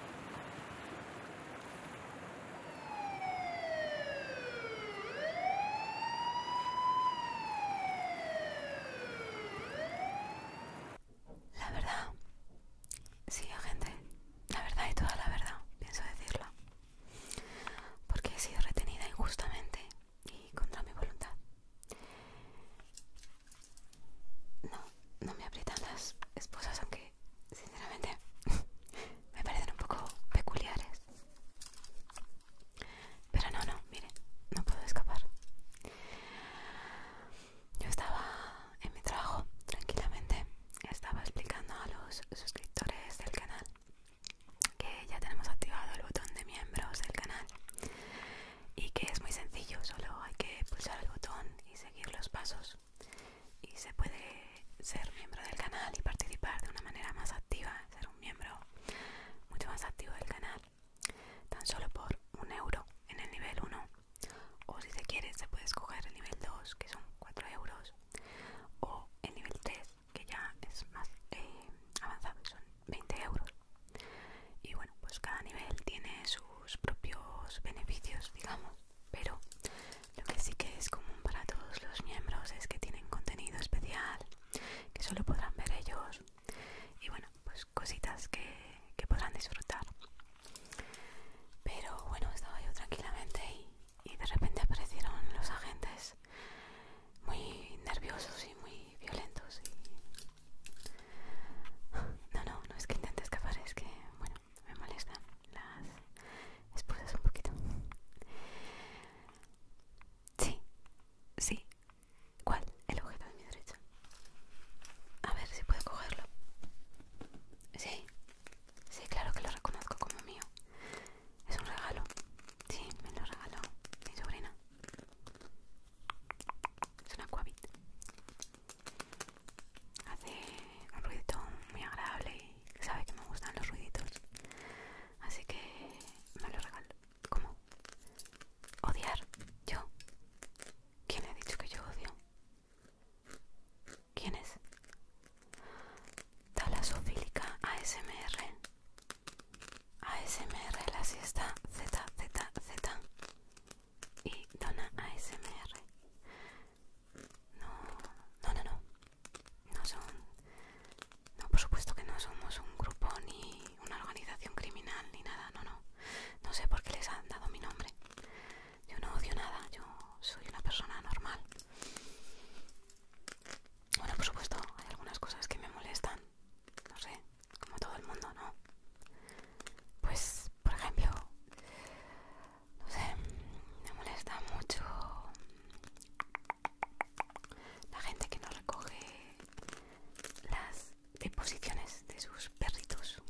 La verdad, sí, gente, la verdad y toda la verdad, pienso decirla, porque he sido retenida injustamente y contra mi voluntad. No, no me aprietan las esposas, aunque sinceramente me parecen un poco peculiares. Pero no, no, mire, no puedo escapar. Yo estaba en mi trabajo tranquilamente, estaba explicando a los suscriptores del canal que ya tenemos activado el botón de miembros del canal y que es muy sencillo, solo hay que pulsar el botón y seguir los pasos y se puede ser miembro del canal y participar de una manera más activa, ser un miembro mucho más activo del canal tan solo por un euro en el nivel 1 o si se quiere se puede escoger el nivel 2 que son 4 euros o el nivel 3 que ya es más eh, avanzado, son 20 euros y bueno pues cada nivel tiene sus propios beneficios digamos pero lo que sí que es común para todos los miembros es que tienen contenido especial que solo podrán ver ellos y bueno pues cositas que, podrán disfrutar pero bueno estaba yo tranquilamente y, de repente aparecieron los agentes muy nerviosos y muy violentos no, no, no es que intente escapar, es que, bueno, me molestan las esposas un poquito. Sí, sí. ¿Cuál? El objeto de mi derecha. A ver si puedo cogerlo. Sí, sí, claro que lo reconozco como mío. Es un regalo. Sí, me lo regaló mi sobrina. Es una Hace un ruidito muy agradable y sabe que me gustan los ruiditos. Así que me lo regalo. ¿Cómo? ¿Odiar? ¿Yo? ¿Quién le ha dicho que yo odio? ¿Quién es? Talasofílica ASMR. ASMR, la siesta ZZZ y Dona ASMR. No, no, no, no. No son. No, por supuesto que no somos un grupo ni una organización criminal ni nada, no, no. No sé por qué les han dado mi nombre. Yo no odio nada, yo soy una persona normal. Bueno, por supuesto, hay algunas cosas que me molestan, no sé, como todo el mundo, ¿no? Pues, por ejemplo, no sé, me molesta mucho la gente que no recoge las deposiciones de sus perritos.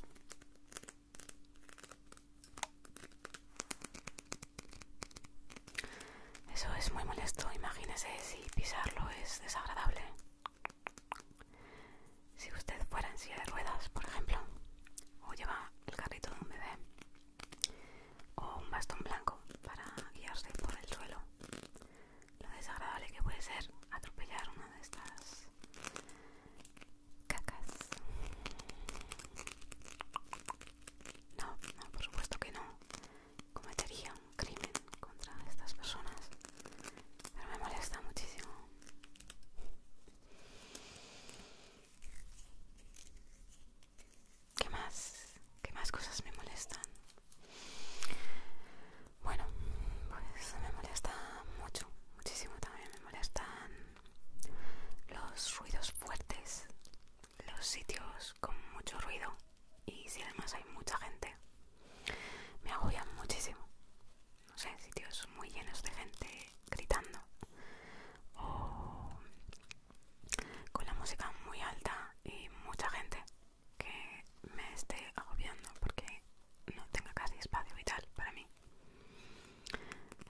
Eso es muy molesto, imagínese si pisarlo es desagradable. Si usted fuera en silla de ruedas, por ejemplo, o lleva el carrito de un bebé, o un bastón blanco para guiarse por el suelo, lo desagradable que puede ser atropellar una de estas cacas. No, no, por supuesto que no cometería un crimen contra estas personas pero me molesta muchísimo ¿Qué más? ¿Qué más cosas me molestan? Bueno, pues me molesta mucho, muchísimo también me molestan los ruidos fuertes, los sitios con mucho ruido, y si además hay mucha gente me agobia muchísimo no sé sitios muy llenos de gente gritando o con la música muy alta y mucha gente que me esté agobiando porque no tenga casi espacio vital para mí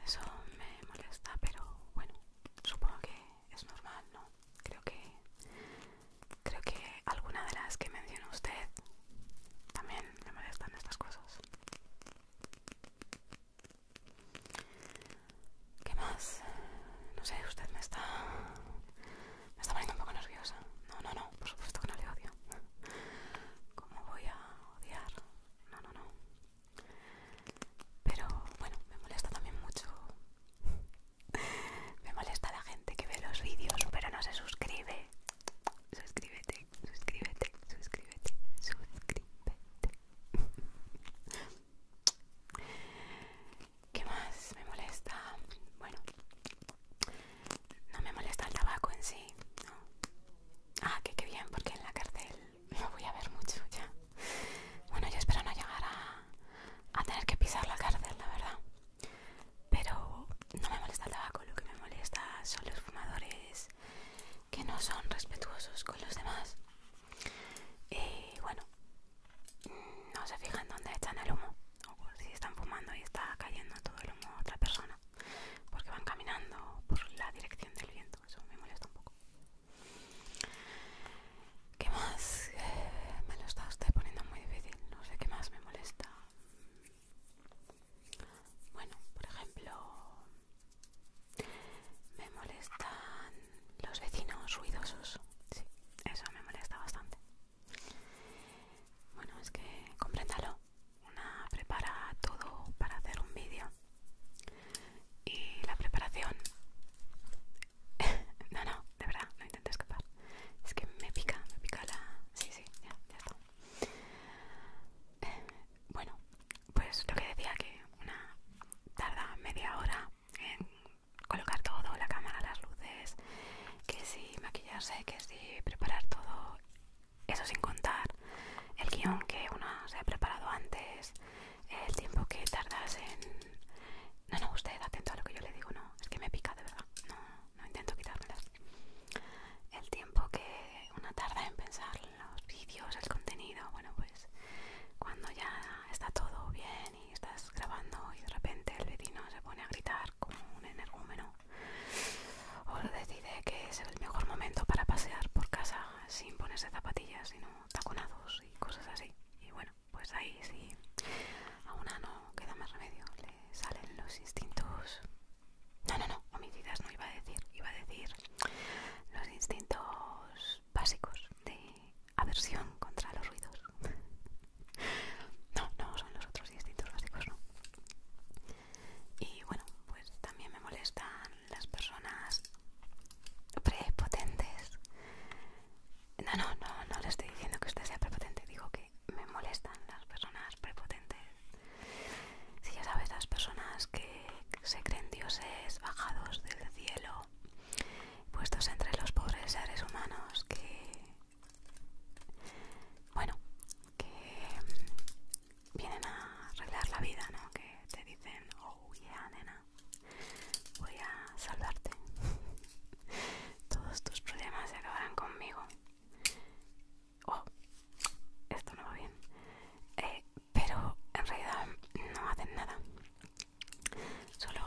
eso me molesta pero bueno supongo que es normal no creo que creo que alguna de las que menciona usted también me molestan estas cosas. ¿Qué más? No sé, usted me está. me está poniendo un poco nerviosa. No, no, no, por supuesto que no le odio. ¿Cómo voy a odiar? No, no, no. Pero bueno, me molesta también mucho me molesta la gente que ve los vídeos pero no se suscribe. Suscríbete, suscríbete, suscríbete, suscríbete. ¿Qué más me molesta? Bueno, no me molesta el tabaco en sí. No. Ah, que qué bien, porque en la cárcel me voy a ver mucho ya. Bueno, yo espero no llegar a, tener que pisar la cárcel, la verdad. Pero no me molesta el tabaco, lo que me molesta son los fumadores que no son respetuosos con los demás. Y bueno, no se fijan dónde echan el humo, o si están fumando y está cayendo todo el humo a otra persona, porque van caminando por la dirección del viento, eso me molesta un poco. ¿Qué más? Eh, me lo está usted poniendo muy difícil. No sé qué más me molesta. Bueno, por ejemplo, me molestan los vecinos ruidosos. Sí, eso me molesta bastante. Bueno, es que compréndalo. Una prepara todo para hacer un vídeo y la preparación no, no, de verdad, no intento escapar. Es que me pica, me pica la... Sí, sí, ya, ya está. Eh, bueno, pues lo que decía que una tarda media hora en colocar todo, la cámara, las luces, que sí maquillarse, que sí preparar todo, eso sin contar el guión que uno se ha preparado antes, el tiempo que tardas en... No, no, usted atento a lo que yo le digo, no, es que me pica de verdad, no, intento quitármelas. El tiempo que una tarda en pensar los vídeos, el contenido, bueno pues cuando ya está todo bien y estás grabando y de repente el vecino se pone a gritar como un energúmeno o decide que es el mejor momento para pasear por casa sin ponerse zapatillas sino taconados y cosas así. Y bueno, pues ahí sí, a una no queda más remedio, le salen los instintos... No, no, no, homicidas no iba a decir, iba a decir los instintos básicos de aversión contra los ruidos. No, no son los otros instintos básicos, no. Y bueno, pues también me molestan las personas prepotentes. No, no, no, no le estoy diciendo que usted sea prepotente, digo que me molestan las personas prepotentes. Si ya sabes, las personas que se creen dioses bajados del cielo, puestos entre los pobres seres humanos que... Bueno, que vienen a arreglar la vida, ¿no? Que te dicen, oh yeah, nena, voy a salvarte. Todos tus problemas se acabarán conmigo. Oh, esto no va bien. Eh, pero en realidad no hacen nada. Solo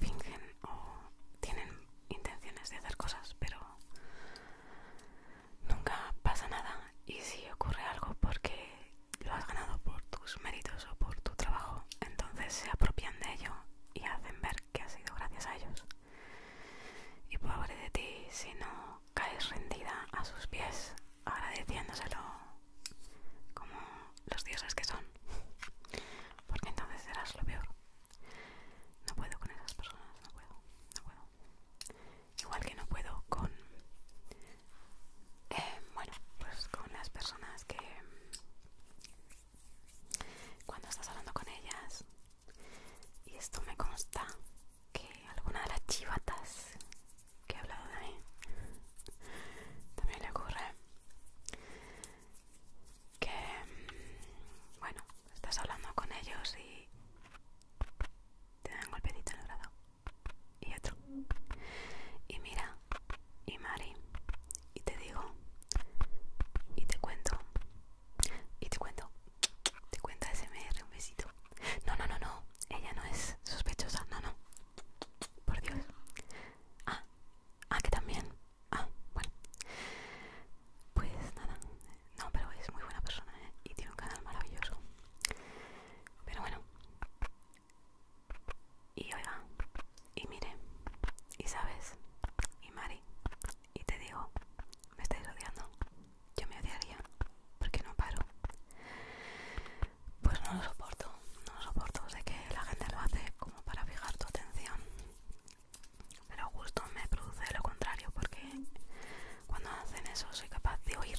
fingen o tienen intenciones de hacer cosas, pero nunca pasa nada. Y si ocurre algo porque lo has ganado por tus méritos o por tu trabajo, entonces se apropian de ello y hacen ver que ha sido gracias a ellos. Y pobre de ti si no caes rendida a sus pies agradeciéndoselo como los dioses que son, porque entonces serás lo peor. No puedo con esas personas, no puedo, no puedo igual que no puedo con eh, bueno pues con las personas que cuando estás hablando con ellas y esto me consta que alguna de las chivatas que he hablado de mí también le ocurre que bueno estás hablando con ellos y te dan golpecito en el brazo y otro. Y mira, y Mari, y te digo, y te cuento, y te cuento, te cuenta SMR, un besito. No, no, no, no, ella no es sospechosa, no, no. Por Dios. Ah, ah, que también. Ah, bueno. Pues nada, no, pero es muy buena persona ¿eh? y tiene un canal maravilloso. Pero bueno. Y oiga, y mire, y sabes, y Mari, y te digo, me estáis odiando. Yo me odiaría, porque no paro. Pues no lo soporto, no lo soporto. Sé que la gente lo hace como para fijar tu atención. Pero justo me produce lo contrario, porque cuando hacen eso soy capaz de oír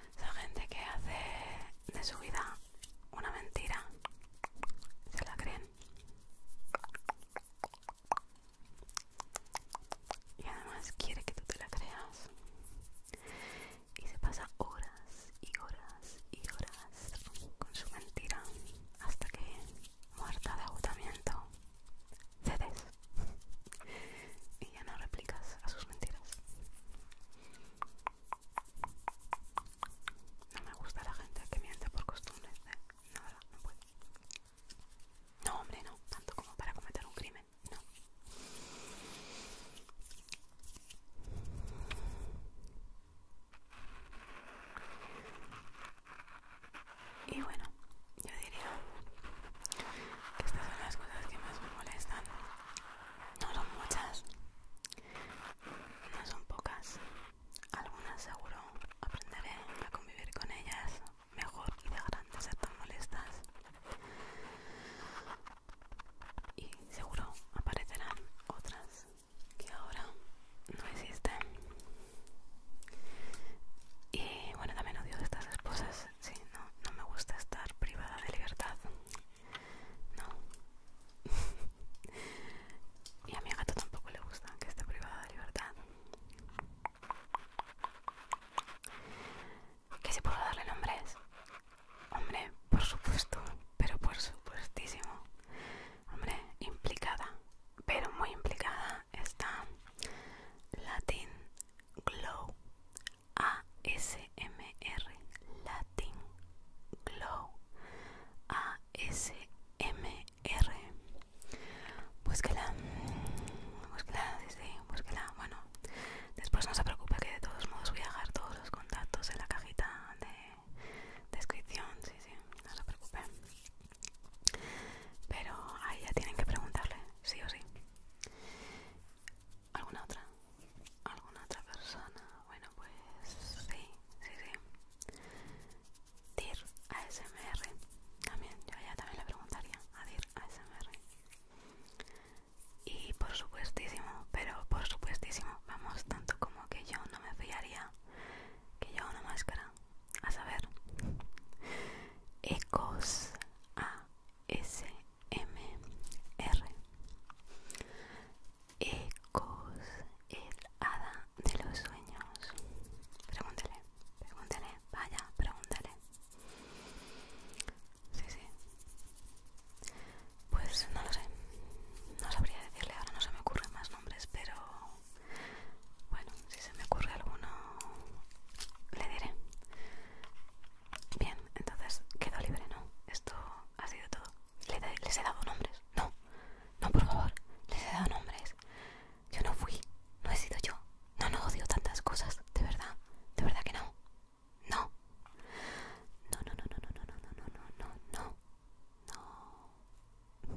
Esa gente que hace de su vida una mentira. ¿Se la creen? Y además quiere que tú te la creas. Y se pasa horas y horas y horas con su mentira hasta que, muerta de agotamiento, cedes y ya no replicas a sus mentiras. No me gusta la gente que miente por costumbre, ¿eh? No, no No, hombre, no. Tanto como para cometer un crimen, no. Y bueno, yo diría que estas son las cosas que más me molestan no son muchas, no son pocas. Algunas seguro aprenderé a convivir con ellas mejor y dejarán de ser tan molestas. Y seguro aparecerán otras que ahora no existen. Y bueno, también odio estas esposas. Sí, no me gusta estar privada de libertad. No. y a mi gato tampoco le gusta que esté privada de libertad. ¿Que si puedo darle nombres? Hombre, por supuesto, pero por supuestísimo. Hombre, implicada, pero muy implicada está Latin Glow ASMR Latin Glow ASMR Búsquela, sí, sí Búsquela, bueno Después no se preocupe que de todos modos voy a dejar todos los contactos en la cajita de descripción, sí, sí, no se preocupe Pero ahí ya tienen que preguntarle, sí o sí ¿Alguna otra? ¿Alguna otra persona? Bueno, pues sí, sí, sí. Dir ASMR. También, yo ya también le preguntaría a Dir ASMR. Y por supuestísimo, pero por supuestísimo, vamos, tanto como que yo no me fiaría que lleva una máscara. A saber, Ecos A e-C-O-U-S-E-M-E-R Ecos, el hada de los sueños. Pregúntele, pregúntele, vaya, pregúntele Sí, sí. Pues no lo sé. No sabría decirle, ahora no se me ocurren más nombres, pero bueno, si se me ocurre alguno, le diré. Bien, entonces quedó libre, ¿no? Esto ha sido todo. ¿Les he dado nombres? No, no, por favor, les he dado nombres. Yo no fui, no he sido yo. No, no odio tantas cosas, de verdad, de verdad que no. No, no, no, no, no, no, no, no, no, no, no, no. no.